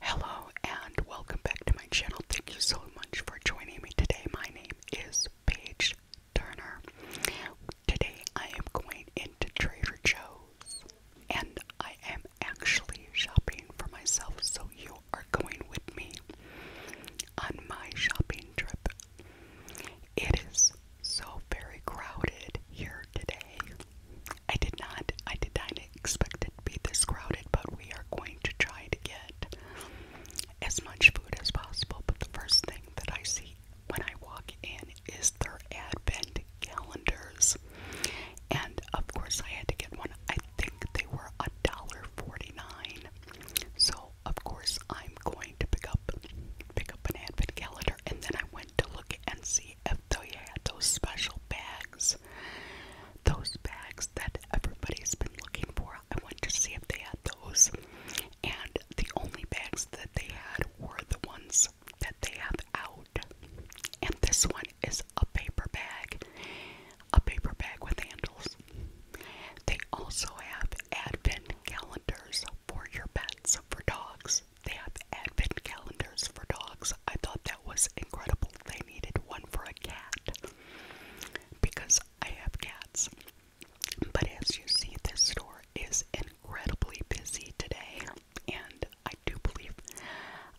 Hello and welcome back to my channel. Thank you so much for joining me today. My name is Paige Turner. Today I am going into Trader Joe's and I am actually shopping for myself, so you are going with me on my shopping trip. It is so very crowded here today. I did not, I did not expect it to be this crowded, but we are going to try to get as much food as possible. But the first thing that I see when I walk in is their advent calendars. And of course I had to get one. I think they were a dollar forty-nine. So of course I'm going to pick up pick up an advent calendar and then I went to look and see if they had those special bags bags. Those bags that everybody's been looking for. I went to see if they had those. And the only bags that they had were the ones that they have out. And this one is a paper bag. A paper bag with handles. They also have advent calendars for your pets, for dogs. They have advent calendars for dogs. I thought that was incredible. They needed one for a cat because I have cats. But as you see, this store is incredibly busy today, and I do believe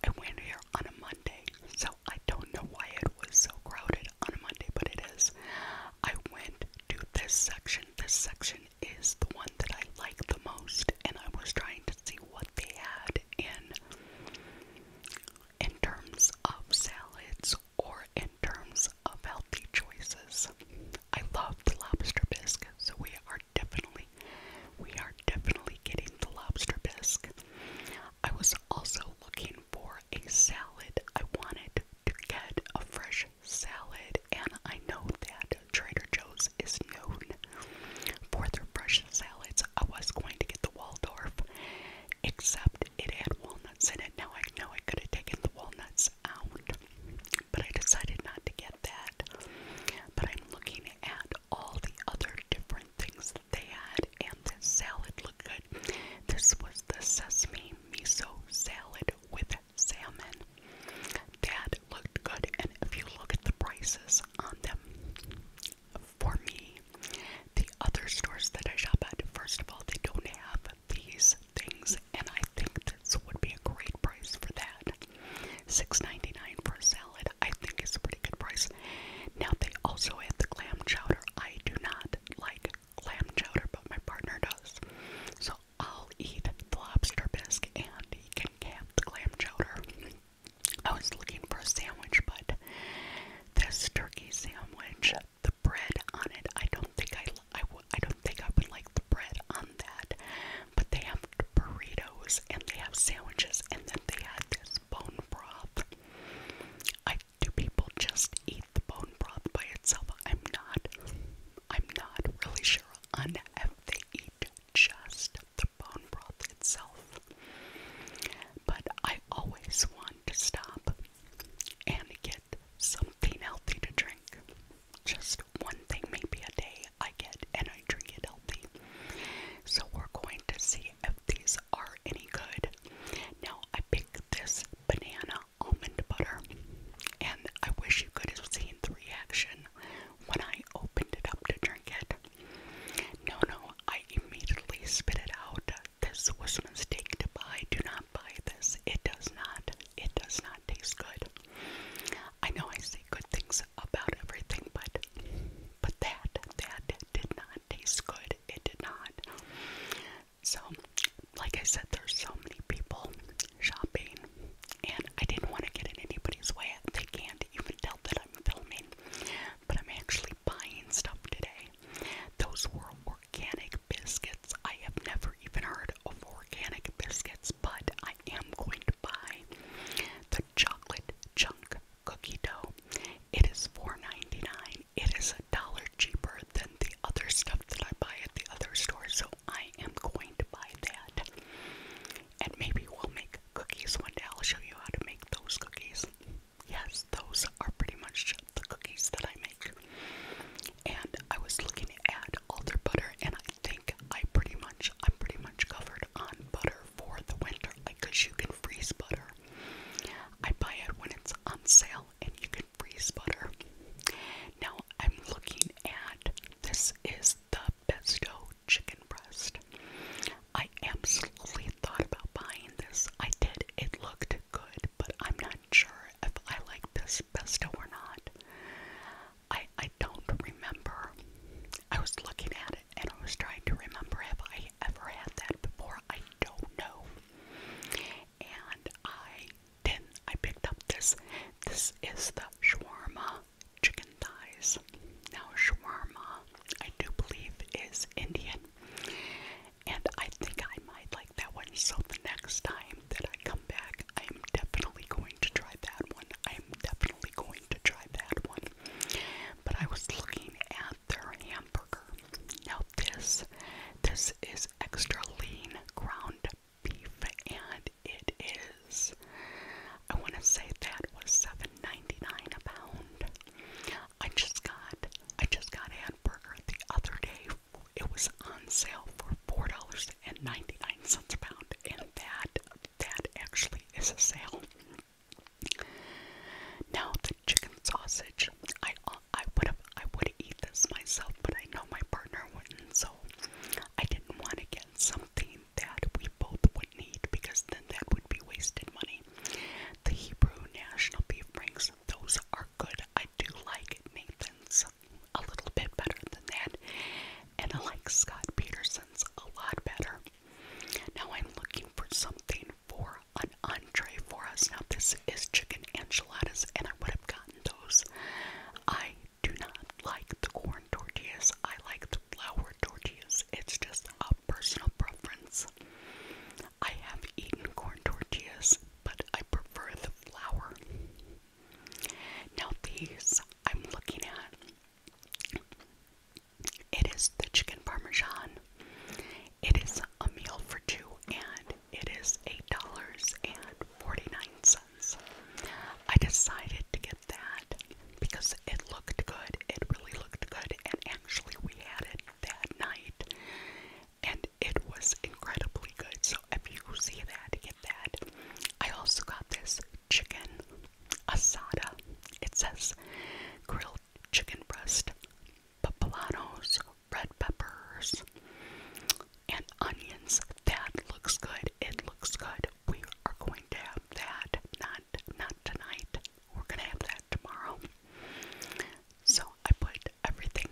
I went here on a Monday, so I don't know why it was so crowded on a Monday, but it is. I went to this section. This section is the one that I like the most, and I was trying to see what what had in in terms of salads or in terms of healthy choices. I love the lobster bisque, so we are definitely we are definitely getting the lobster bisque. I was also looking for a salad. I wanted to get a fresh salad and I know that Trader Joe's is known for their fresh salads. I was going to get the Waldorf, except it had walnuts in it. Now I know I could have taken the walnuts out, but I decided not to get that. But I'm looking at all the other different things that they had, and this salad looked good. This was the sesame miso salad with salmon that looked good. And if you look at the prices on them, for me, the other stores that I shop at, first of all, they don't have these things, and I think this would be a great price for that. $6.99 for a salad, I think is a pretty good price. Now they also have the clam chowder. I do not like clam chowder, but my partner does. So I'll eat the lobster bisque and he can have the clam chowder. I was looking for a sandwich, but this turkey sandwich, the bread on it, I don't think I, I, I don't think I would like the bread on that. But they have burritos and they have sandwiches, and then they had this bone broth. I do people just eat the bone broth by itself? I'm not. I'm not really sure on if they eat just bone broth itself. But I always want to stop and get something healthy to drink. Just one thing, maybe a day, I get and I drink it healthy. So we're going to see if these are any good. Now, I picked this banana almond butter, and I wish you could have seen the reaction when I opened it up to drink it. No, no, I immediately spit it out. This was a mistake to buy. Do not buy this. It does not. It does not taste good. I know I say good things about everything, but but that that did not taste good. It did not. So, like I said, there's so many people shopping and I didn't want to get in anybody's way. They can't even tell that I'm filming, but I'm actually buying stuff today. Those were organic biscuits. I have never even heard of organic biscuits, but I am going to buy the chocolate chunk cookie dough. It is $4.99. It is a dollar cheaper than the other stuff that I buy at the other store, so I am going to buy that. And maybe we'll make cookies one day. I'll show you how to make those cookies. Yes, those are pretty much the cookies that I make. And I was looking at alder butter, and I think I pretty much, I'm pretty much covered on butter for the winter, because you can freeze butter. I buy it when it's on sale, and you can freeze butter. Now I'm looking at this is the pesto chicken breast. I absolutely thought about buying this. I did. It looked good, but I'm not sure if I like this pesto or not. I I don't remember. I was looking at it and I was trying to remember if I ever had that before. I don't know. And I then I picked up this. This is the shawarma chicken thighs. Now, shawarma, I do believe, is Indian. And I think I might like that one. So, the next time that I come back, I am definitely going to try that one. I am definitely going to try that one. But I was looking at their hamburger. Now, this, this is extra lean ground beef, and it is. I want to say that was seven ninety nine a pound. I just got I just got hamburger the other day. It was on sale for four dollars and ninety nine cents a pound, and that that actually is a sale. Now the chicken sausage, I I would have I would eat this myself, but I know my partner wouldn't, so I didn't want to get something something that we both would need because then that would be wasted money. The Hebrew National Beef Rings, those are good. I do like Nathan's a little bit better than that. And I like Scott Peterson's a lot better. Now I'm looking for something for an entree for us. Now this is chicken enchiladas and I would have gotten those. I do not like the corn tortillas. I like the flour tortillas. It's just a personal preference. I have eaten corn tortillas, but I prefer the flour. Now, these I'm looking at. It is the chicken parmesan. It is a meal for two, and it is $8.49. I decided to get that because it looked good. It really looked good, and actually, we had it that night, and it was incredibly good. So, if you see that, get that. I also got this chicken asada. It says grilled chicken breast, papalanos, red peppers, and onions. That looks good. It looks good we are going to have that. Not not tonight. We're gonna have that tomorrow. So I put everything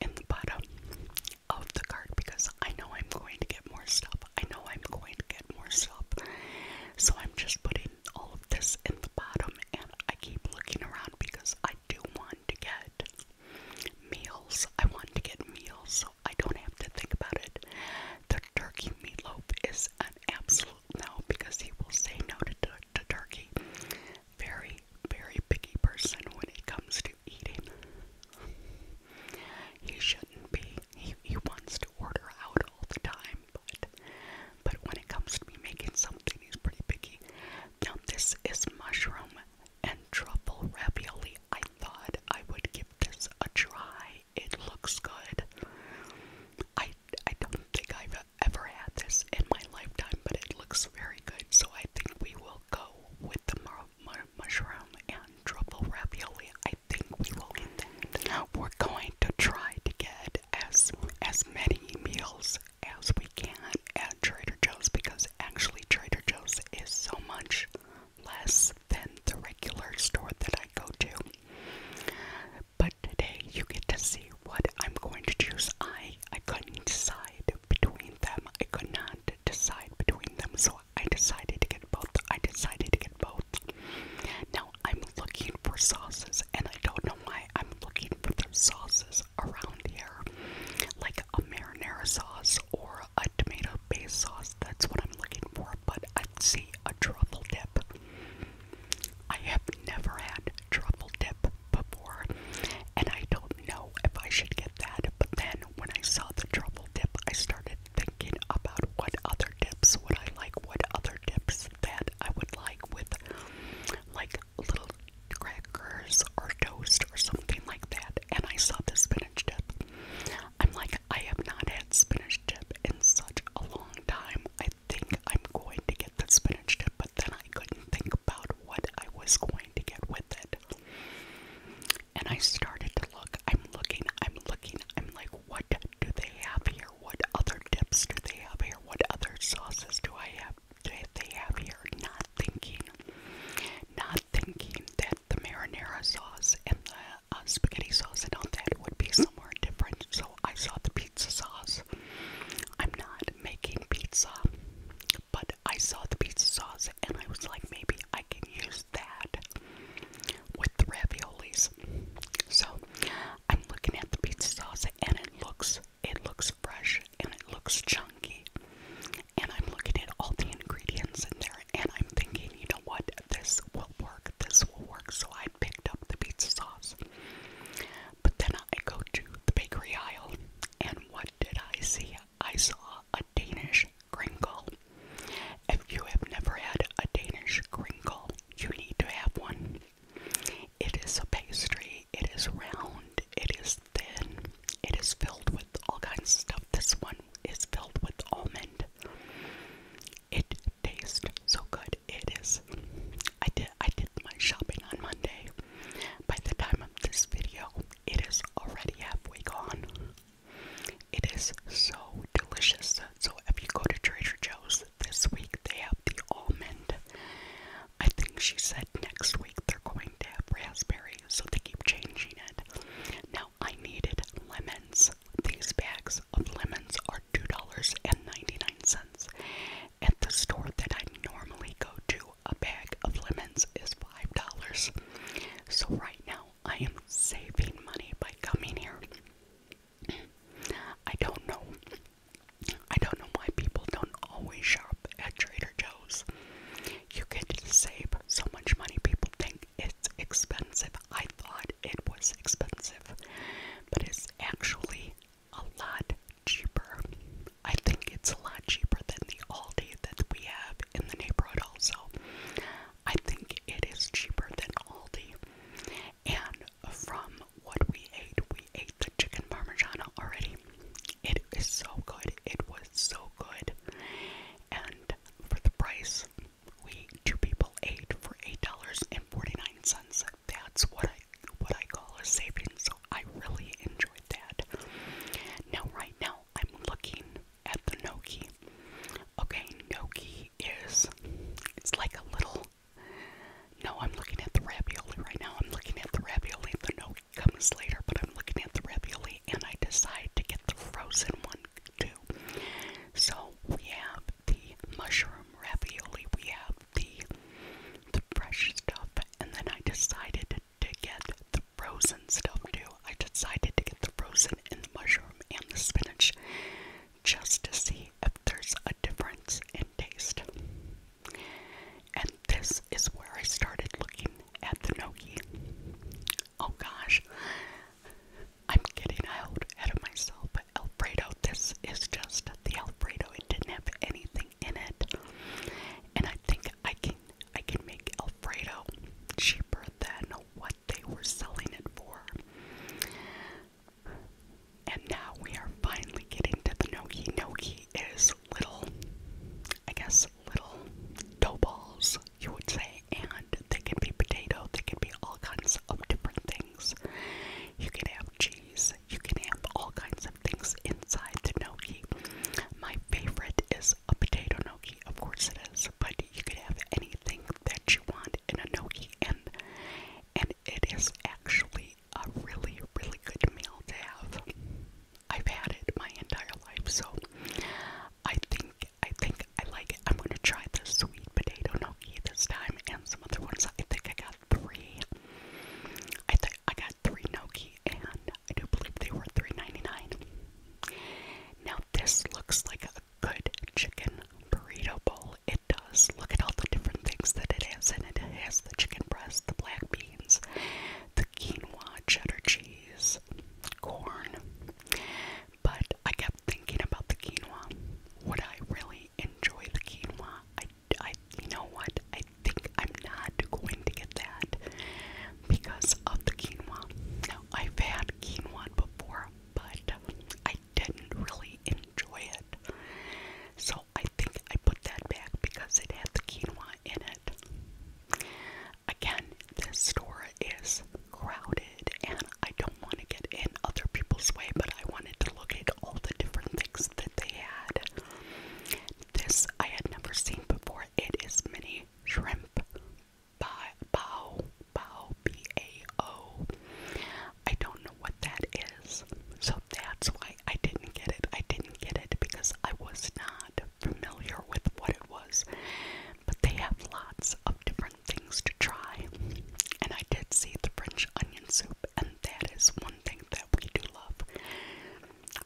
in the bottom of the card because I know I'm going to get more stuff. I know I'm going to get more stuff. So I'm just putting all of this in the bottom and I keep looking around because I do want to get meals. I want to get meals, I don't have to think about it. The turkey meatloaf is an absolute no because he will say no to, to, to turkey. Very, very picky person when it comes to eating. He shouldn't be. He, he wants to order out all the time, but but when it comes to me making something, he's pretty picky. Now this is mushroom and truffle ravioli. I thought I would give this a try. It looks good. I I don't think I've ever had this in my lifetime, but it looks very good. So I think we will go with the mushroom and truffle ravioli. I think we will get we're going to try to get as as many meals as we can at Trader Joe's because actually Trader Joe's is so much less than the regular store that I go to. But today you get to see what I'm going to choose. I I couldn't decide between them. I could not decide between them, so I decided to get both. I decided to get both. Now I'm looking for sauces, and I don't know why I'm looking for the sauces around here, like a marinara sauce or a tomato based sauce, that's what I'm looking for, but i see a truffle dip. I have never had truffle dip before, and I don't know if I should get that, but then when I saw the truffle dip, I started thinking about what other dips would I like, what other dips that I would like with like little crackers or toast or something like that, and I saw this spinach dip. I'm like, I have not had spinach dip in such a long time. I think I'm going to get the spinach dip, but then I couldn't think about what I was going to get with it. And I started to look. I'm looking, I'm looking, I'm like, what do they have here? What other dips do they have here? What other sauces do I have? Do they have here? Not thinking, not thinking that the marinara sauce and the uh, spaghetti sauce and all that would be somewhere different, so I saw the pizza sauce. I'm not making pizza, but I saw the pizza sauce and I was like, maybe I can use that with the raviolis. So I'm looking at the pizza sauce and it looks it looks fresh and it looks chunky and I'm looking at all the ingredients in there and I'm thinking, you know what, this will work, this will work. So I picked up the pizza sauce. But then I go to the bakery aisle and what did I see? I saw a Danish crinkle. If you have never had a Danish crinkle, you need to have one. It is a pastry, it is round, it is thin. It is filled with all kinds of stuff. This one is filled with almond. It tastes so good. It is. I did I did my shopping on Monday. By the time of this video, it is already halfway gone. It is so delicious. So if you go to Trader Joe's this week, they have the almond. I think she said next week they're going to have raspberry so they keep changing it. Now, I needed lemons. These bags of lemons are $2.99. At the store that I normally go to, a bag of lemons is $5. So, right now, I am saving money by coming here. I don't know. I don't know why people don't always shop at Trader Joe's. You can save so much money. People think it's expensive. I thought it was expensive, but it's actually a lot cheaper. I think it's a lot cheaper than the Aldi that we have in the neighborhood, also. I think it is cheaper than Aldi. And from what we ate, we ate the chicken parmesan already. It is so good. It was so good. And for the price, we two people ate for $8.49. That's what I what I call a saving. So I really enjoyed that. Now right now I'm looking at the Noki. Okay, Noki is it's like a little no, I'm looking at the ravioli right now. I'm looking at the ravioli. The gnocchi comes later, but I'm looking at the ravioli and I decide to get the frozen one too. So we have the mushroom ravioli, we have the the fresh stuff, and then I decided to get the frozen stuff too. I decided to get the frozen and the mushroom and the spinach just to see if there's a difference in taste. And this is where I started looking at the Noki. Oh gosh, I'm getting out of myself. Alfredo, this is just the Alfredo. It didn't have anything in it, and I think I can I can make Alfredo cheaper than what they were selling it for. And now we are finally getting to the Noki. Noki is little, I guess, little dough balls, you would say, and they can be potato, they can be all kinds of different things. You can have cheese, you can have all kinds of things inside the gnocchi. My favorite is a potato gnocchi, of course it is, but you can have anything that you want in a gnocchi, and and it is actually a really, really good meal to have. I've had it my entire life, so I think I think I like it. I'm gonna try the sweet potato gnocchi this time and some other ones. I think I got three. I think I got three gnocchi and I do believe they were three ninety nine. Now this looks like a good chicken burrito bowl. It does. Look at all the different things that it has and it. It has the chicken breast, the black beans, the quinoa, cheddar cheese corn. But I kept thinking about the quinoa. Would I really enjoy the quinoa? I, I, you know what? I think I'm not going to get that because of the quinoa. Now, I've had quinoa before, but I didn't really enjoy it. So I think I put that back because it had the quinoa in it. Again, this store is crowded and I don't want to get in other people's way, but I wanted to look at all the different things that they had. This I had never seen before. It is mini shrimp. Bao, bao, B A O. I don't know what that is, so that's why I, didn't get it. I didn't get it because I was not familiar with what it was. But they have lots of different things to try. And I did see the French onion soup, and that is one thing that we do love.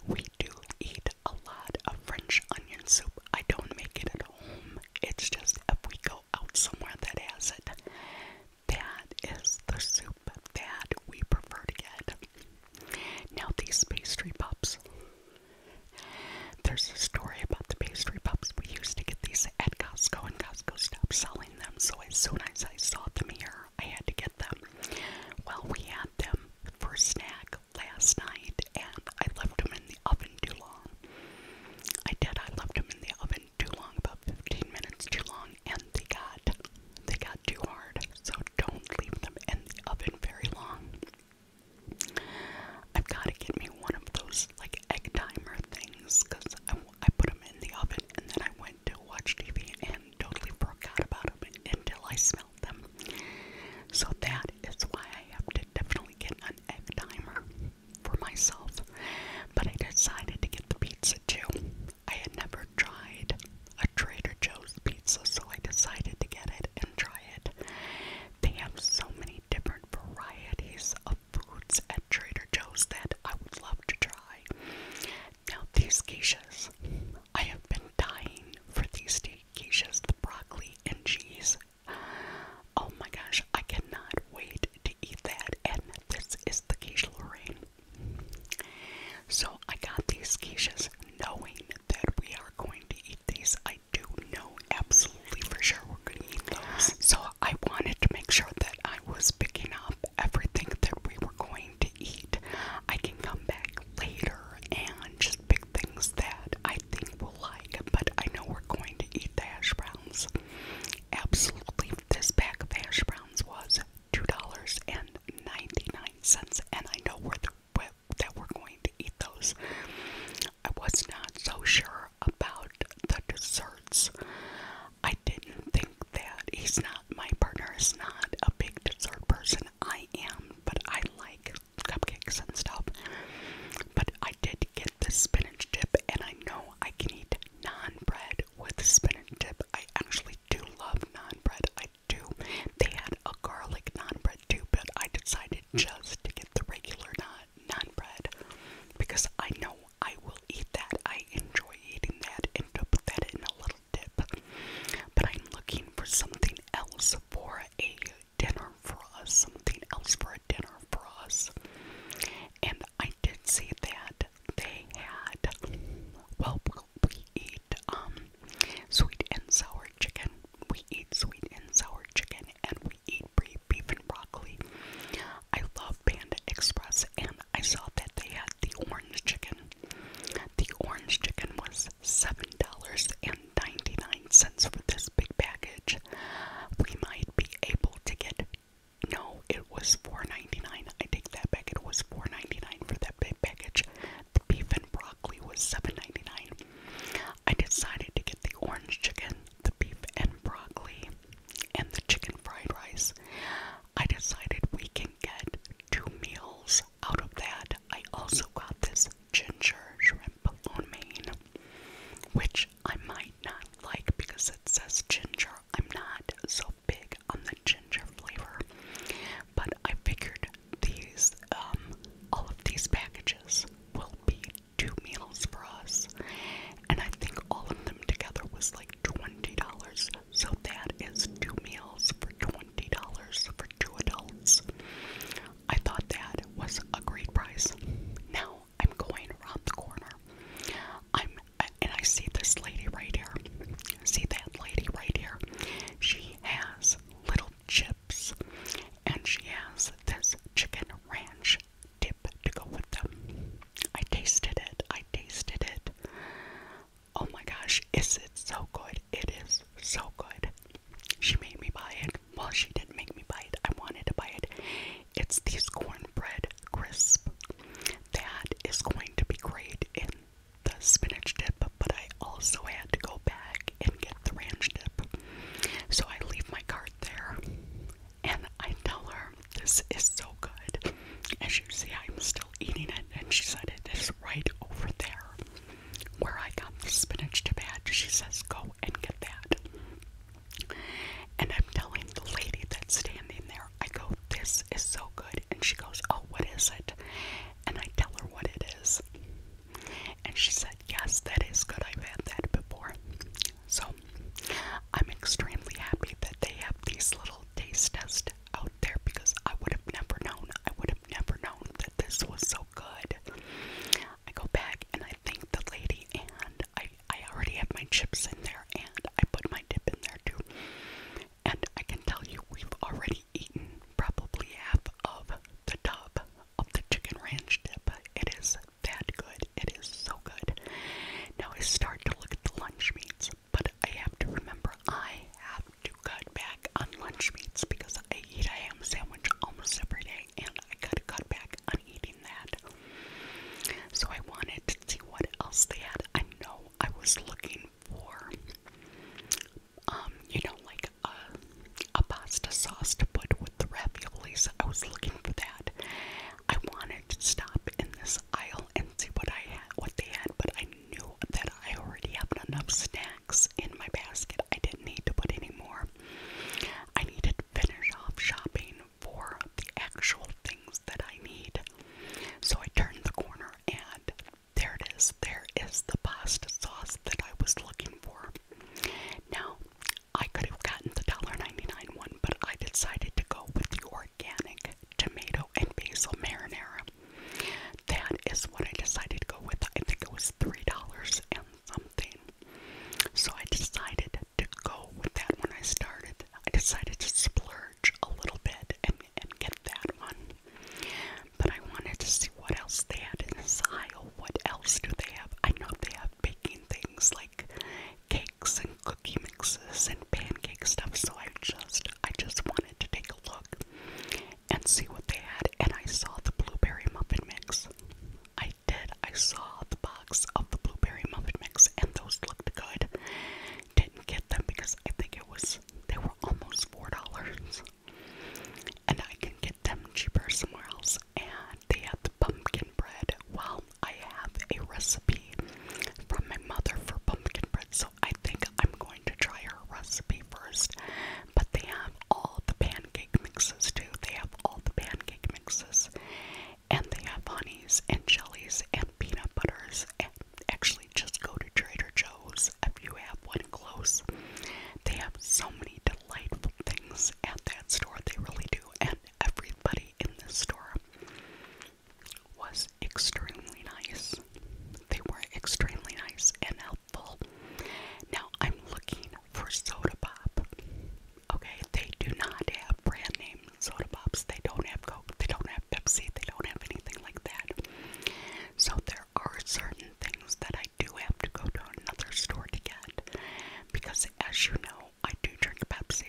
We do eat a lot of French onion soup. I don't make it at home. It's just if we go out somewhere that has it. That is the soup that we prefer to get. Now these pastry pops. There's a story about the pastry pops. We used to get these at Costco and Costco stopped selling them, so as soon as I saw them here, I had to get them. Well, we had them for snack last night and I left them in the oven too long. I did, I left them in the oven too long, about 15 minutes too long, and they got they got too hard, so don't leave them in the oven very long. I've got to get me one of those like egg timer things I put them in the oven and then I went to watch TV and totally forgot about them until I smelled them. So that is why I have to definitely get an egg timer for myself. But I decided to get the pizza too. I had never tried a Trader Joe's pizza, so I decided to get it and try it. They have so many different varieties of foods at Trader Joe's that I would love to try. Now, these quiches, I have been dying for these quiches, the broccoli and cheese. Oh my gosh, I cannot wait to eat that. And this is the quiche Lorraine. So I got these quiches knowing that we are going to eat these. I do know absolutely for sure we're going to eat those. So I wanted to make sure that I was picking up everything that we were going to eat. I can come back later and just pick things that I think we'll like, but I know we're going to eat the hash browns. Absolutely, this pack of hash browns was two dollars and ninety nine cents, and I know where the where, that we're going to eat those. I was not so sure about the desserts. I didn't think that he's not my partner is not a big dessert person. I am, but I like cupcakes and stuff. But I did get the spinach dip, and I know I can eat non bread with spinach dip. I actually do love non bread. I tried They had a garlic naan bread too, but I decided hmm. just to get the regular naan, naan bread because I know I will eat that. I enjoy eating that and to put that in a little dip. But I'm looking for something else for a dinner for us, something else for a dinner for us. And I did see that they had, well, we eat um, sweet and sour chicken. We eat sweet and sour chicken, and we eat beef and broccoli. I love Panda Express, and I saw that they had the orange chicken. The orange chicken was seven dollars and ninety-nine cents for this big package. We might be able to get. No, it was $4.99. I take that back. It was $4.99 for that big package. The beef and broccoli was $7.99. I decided to get the orange chicken, the beef and broccoli, and the chicken fried rice. I decided we can get two meals out of that. I also got this ginger shrimp on main, which I might not like because it says ginger. I'm not so big on the ginger flavor, but I figured these, um, all of these packages will be two meals for us, and I think all of them together was like $20. So that is two meals for $20 for two adults. I thought that was a great price. Now I'm going around the corner. I'm and I see this lady right here. See that lady right here? She has little chips and she has this chicken ranch dip to go with them. I tasted it. I tasted it. Oh my gosh, is it so good? It is so good. She made me buy it. Well, she didn't make me buy it. I wanted to buy it. It's these cornbread crisp. That is going to be great in the spinach dip, but I also had to go back and get the ranch dip. So I leave my cart there and I tell her, This is so good. As you see, I'm still eating it, and she said, It is right over there where I got the spinach dip at. She says, Go and get that. And I'm telling the lady that's standing there. I go, This is so good. And she goes, Oh, what is it? And I tell her what it is. And she said, Yes, that is good. I've had that before. So I'm extremely happy that they have these little taste tests out there because I would have never known. I would have never known that this was so good. I go back and I thank the lady, and I, I already have my chips in there, and I put my dip in there too. And I can tell you, we've already eaten probably half of the top of the chicken ranch dip. It is that good. It is so good. Now I start to look at the lunch meats, but I have to remember I have to cut back on lunch meats because I eat a ham sandwich almost every day, and I gotta cut back on eating that. So I wanted to see what else they had. I know I was looking for, um, you know, like a, a pasta sauce to put with the raviolis. I was looking for that. I wanted to stop in this aisle and see what I had, what they had, but I knew that I already had enough snacks in my basket. I didn't need to put any more. I needed to finish off shopping for the actual things that I need. So I turned the corner and there it is. There is the pasta sauce that I was looking for. Now, I could have gotten the dollar ninety nine one, but I decided to go with the organic tomato and basil marinara. That is what I decided to go with. I think it was $3 and something. So I decided to go with that when I started. I decided to splurge a little bit and and get that one. But I wanted to see what else they had in this aisle. What else do they have? I know they have baking things like cakes and cookie mixes and pancake stuff. So I just, I just wanted to take a look and see what they had. And I saw the blueberry muffin mix. I did. I saw the box of the blueberry muffin mix, and those looked good didn't get them because I think it was they were almost four dollars. And I can get them cheaper somewhere else. And they had the pumpkin bread. Well, I have a recipe from my mother for pumpkin bread, so I think I'm going to try her recipe first. But they have all the pancake mixes too. They have all the pancake mixes. And they have honeys and jellies and peanut butters and actually just go to Trader Joe's if you have one close. They have so many delightful things at that store, they really do, and everybody in the store was extremely nice. They were extremely nice and helpful. Now I'm looking for soda pop. Okay, they do not have brand name soda pops. They don't have Coke. They don't have Pepsi, they don't have anything like that. So there are certain things that I do have to go to another store to get because as you know, I do drink Pepsi.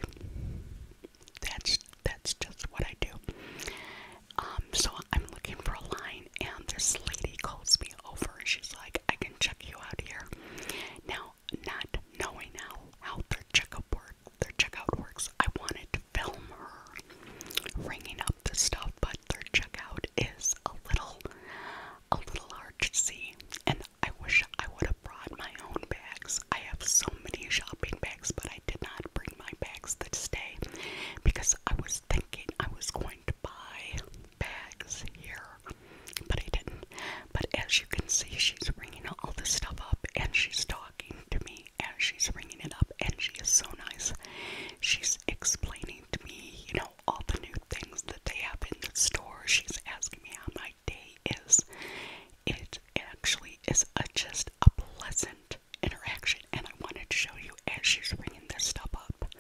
That's that's just what I do. Um, so I'm looking for a line and this lady calls me over and she's like, I can check you out here. Now, not knowing how, how their checkup works their checkout works. I wanted to film her ringing up the stuff, but their checkout is a little, a little hard to see. And I wish I would have brought my own bags. I have so many shopping bags, but I did not bring my bags this day because I was thinking I was going to buy bags here, but I didn't. But as you can see, she's ringing all this stuff up and she's talking to me and she's bringing it up, and she is so nice. She's explaining to me, you know, all the new things that they have in the store. She's asking me how my day is. It actually is just a pleasant interaction, and I wanted to show you as she's bringing this stuff up.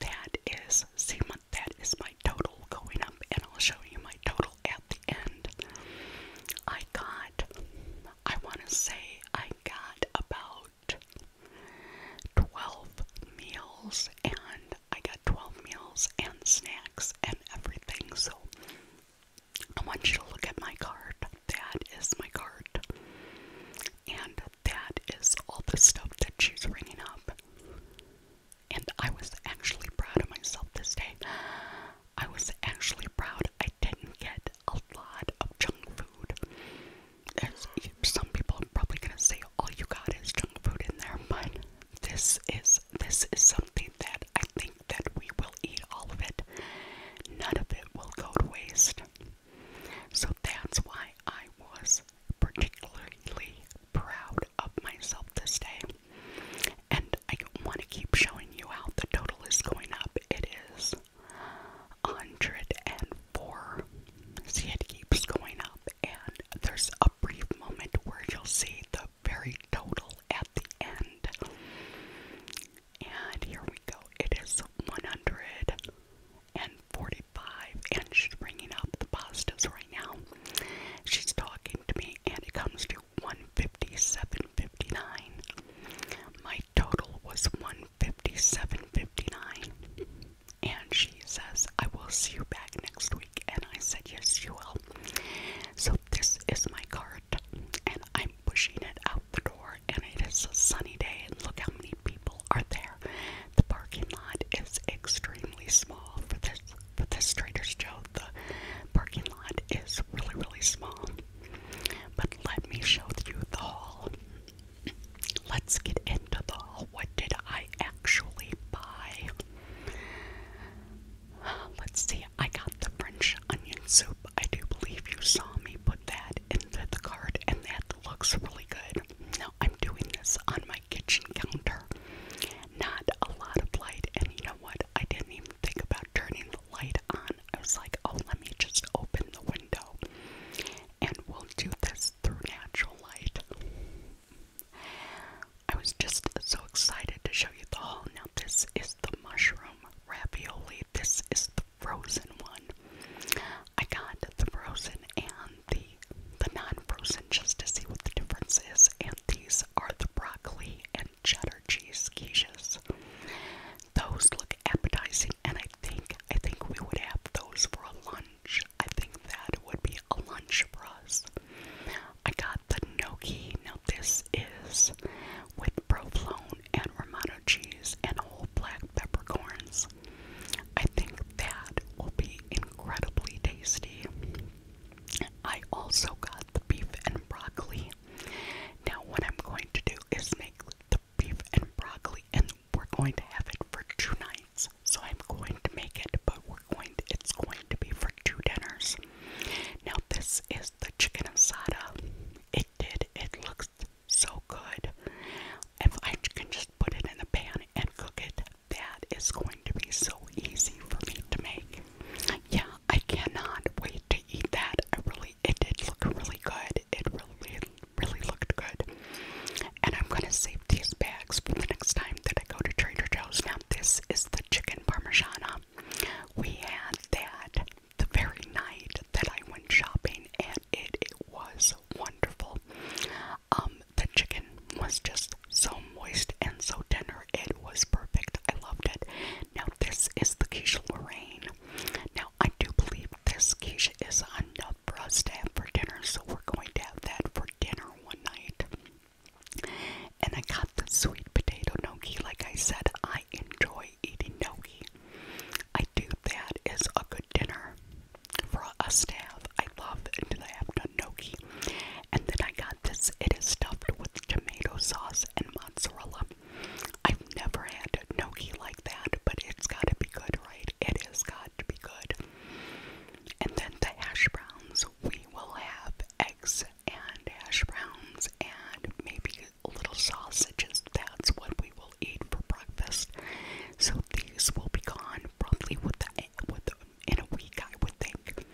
That is, see, my, that is my total going up, and I'll show you my total at the end. I got, I want to say, I got about 12 meals, and I got 12 meals and snacks and everything. So I want you to look at my card. That is my card. And that is all the stuff that she's ringing up. And I was actually proud of myself this day. I was actually proud I didn't get a lot of junk food. As some people are probably gonna say all you got is junk food in there, but this is this is something that I think that we will eat all of it. None of it will go to waste. So that's why I was particularly proud of myself this day. And I want to keep showing you how the total is going up. It is 104. See, it keeps going up, and there's a brief moment where you'll see the very total at the end. And here we go. It is 145, and she's bringing up the positives right now. She's talking to me, and it comes to 157.59. My total was 157.59. And she says, I will see you back next week. And I said, Yes, you will. So this is my cart, and I'm pushing it out the door. And it is a sunny day, and look how many people are there. The parking lot is extremely small for this but this Trader's Joe, the parking lot is really, really small. But let me show you the hall. Let's get into the hall. What did I actually buy? Let's see. I got the French onion soup. I do believe you saw me put that in the card, and that looks really good. Now I'm doing this on my kitchen counter. Not a lot of light, and you know what? I didn't even think about turning the light on. I was like, oh, let me just open the window and we'll do this through natural light. I was just so excited to show you the haul. Now, this is the mushroom ravioli, this is the frozen one. I got the frozen and the the non-frozen just to see what the difference is and these are the broccoli and cheddar cheese quiches. Those look appetizing, and I think I think we would have those for a lunch. I think that would be a lunch for us. I got the gnocchi. Now this is with provolone and romano cheese and whole black peppercorns. I think that will be incredibly tasty. I also got the beef and broccoli. Now, what I'm going to do is make the beef and broccoli, and we're going to have it for two nights. So I'm going to make it, but we're going. To, it's going to be for two dinners. Now, this is the chicken asada. It did. It looks so good. If I can just put it in the pan and cook it, that is going to be so easy for me to make. Yeah, I cannot wait to eat that. I really, it did look really good. It really, really looked good. And I'm gonna save these bags for the next time that I go to Trader Joe's. Now this is the chicken parmigiana. We had that the very night that I went shopping, and it it was wonderful. Um, the chicken was just so moist and so tender. It was perfect. I love it. Now, this is the quiche Lorraine. Now, I do believe this quiche is enough for us to have for dinner, so we're going to have that for dinner one night. And I got the sweet potato gnocchi. Like I said, I enjoy eating gnocchi. I do That is a good dinner for us to have. I love it in the afternoon on And then I got this. It is stuffed with tomato sauce and mozzarella. I've never had a gnocchi like that, but it's got to be good, right? It is got to be good. And then the hash browns. We will have eggs and hash browns and maybe little sausages. That's what we will eat for breakfast. So these will be gone probably with the, in a week, I would think.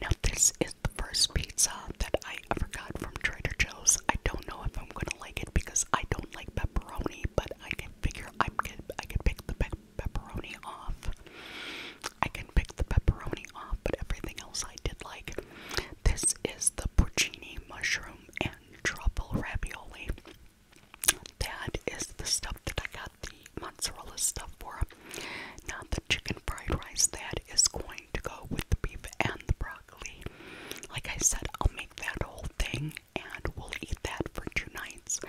Now this the first pizza that I ever got from Trader Joe's. I don't know if I'm gonna like it because I don't like pepperoni, but I can figure I can I can pick the pepperoni off. I can pick the pepperoni off, but everything else I did like. This is the porcini mushroom and truffle ravioli. That is the stuff that I got the mozzarella stuff for them. Now the chicken fried rice that is going to go with the beef and the broccoli. Like I said, I'll make that whole thing and we'll eat that for two nights.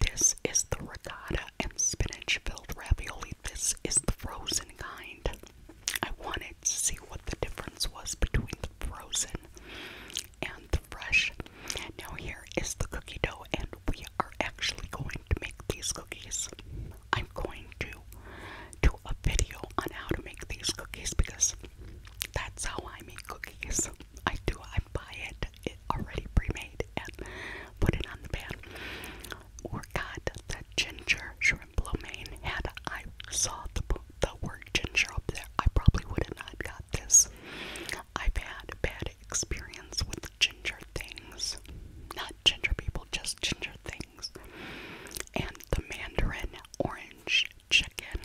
This is the ricotta and spinach filled ravioli. This is the frozen kind. I wanted to see what the difference was between the frozen and the fresh. Now, here is the cookie dough, and we are actually going to make these cookies. I'm going to do a video on how to make these cookies because that's how I make cookies. I do, I buy it, it already pre-made and put it on the pan. Or got the ginger shrimp lo mein. Had I saw the, the word ginger up there, I probably would not have got this. I've had bad experience with ginger things. Not ginger people, just ginger things. And the mandarin orange chicken.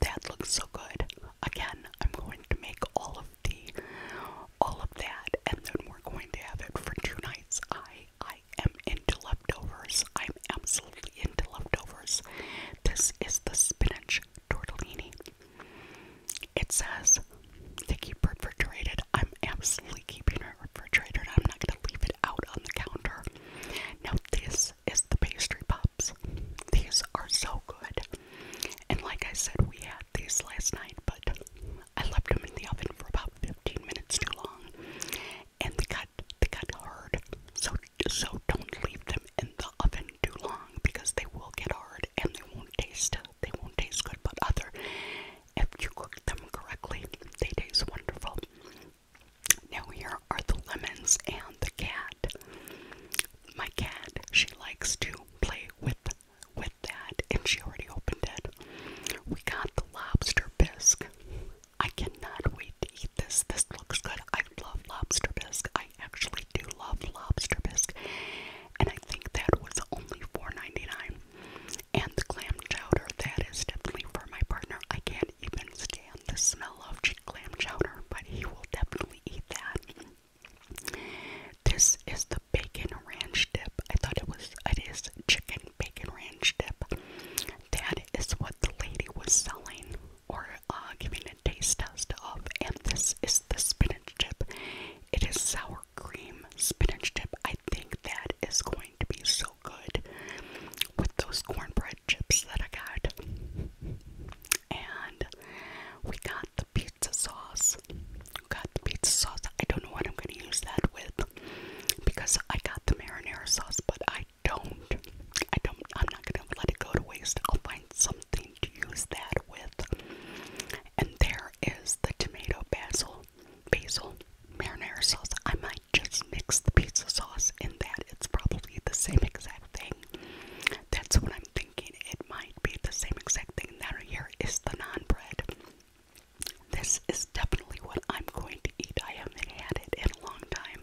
That looks so good. Again, I'm going to make all of the all of that and then we're going to have it for two nights. I I am into leftovers. I'm absolutely into leftovers. This is the spinach tortellini. It says to keep refrigerated. I'm absolutely keeping it refrigerated. I'm not going to leave it out on the counter. Now, this is the pastry pops. These are so good. And like I said, we had these last night, but I left them in the oven for about 15 minutes too long. And they got they got hard. So so don't leave them in the oven too long because they will get hard and they won't taste they won't taste good, but other, if you cook them correctly, they taste wonderful. Now here are the lemons and the cat. My cat, she likes to play with with that, and she already opened it. We got the lobster bisque. I cannot wait to eat this. This looks good. I love lobster bisque. I actually do love lobster bisque and I think that was only 4 And the clam chowder, that is definitely for my partner. I can't even stand the smell of clam chowder, but he will definitely eat that. This is the bacon ranch dip. I thought it was, it is chicken bacon ranch dip. That is what the lady was selling or uh, giving a taste test of, and this is the spinach dip. It is sour cream spinach dip. I think that is going to be so good with those cornbread chips that I got. And we got the pizza sauce. We Got the pizza sauce. I don't know what I'm going to use that with because I got the marinara sauce, but I don't. I don't. I'm not going to let it go to waste. I'll find something to use that with. And there is the tomato basil basil marinara sauce. I might just mix the pizza sauce in that. It's probably the same exact thing. That's what I'm thinking. It might be the same exact thing. Now here is the non bread. This is definitely what I'm going to eat. I haven't had it in a long time,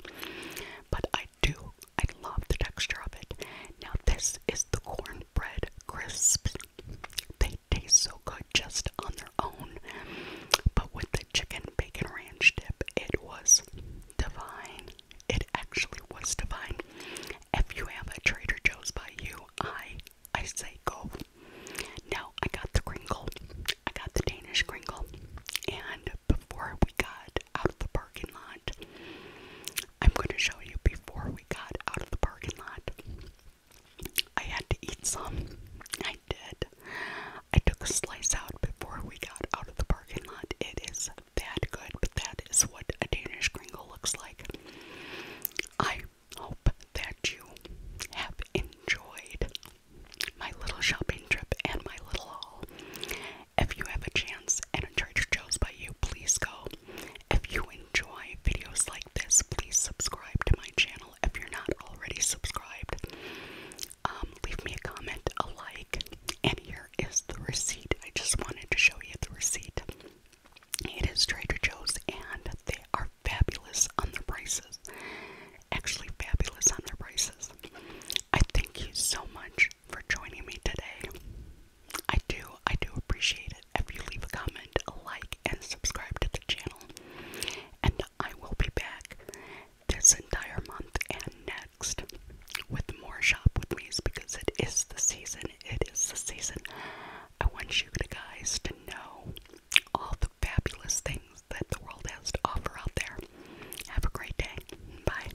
but I do. I love the texture of it. Now this is the corn cornbread crisps. They taste so good just on their own, but with the chicken bacon ranch dip, it was divine. It actually was divine. If you have a Trader Joe's by you, I I say go. Now I got the crinkle. I got the Danish crinkle, and before we got out of the parking lot, I'm going to show you before we got out of the parking lot. I had to eat some. I did. I took a slice out before we got out of the parking lot. It is that good, but that is what a Danish gringo looks like. I hope that you have enjoyed my little shopping trip and my little haul. If you have a chance and a church Joe's by you, please go. If you enjoy videos like this, please subscribe to my channel if you're not already subscribed. Um, leave me a comment, a like, and here is the receipt. I just wanted to show you the receipt. It is Trader Joe's, and they are fabulous on their prices. Actually, fabulous on their prices. I thank you so much for joining me today. I do, I do appreciate it if you leave a comment, a like, and subscribe to the channel. And I will be back this entire month and next with more Shop With Me's because it is the season. It is the season. I want you guys to know all the fabulous things that the world has to offer out there. Have a great day. Bye.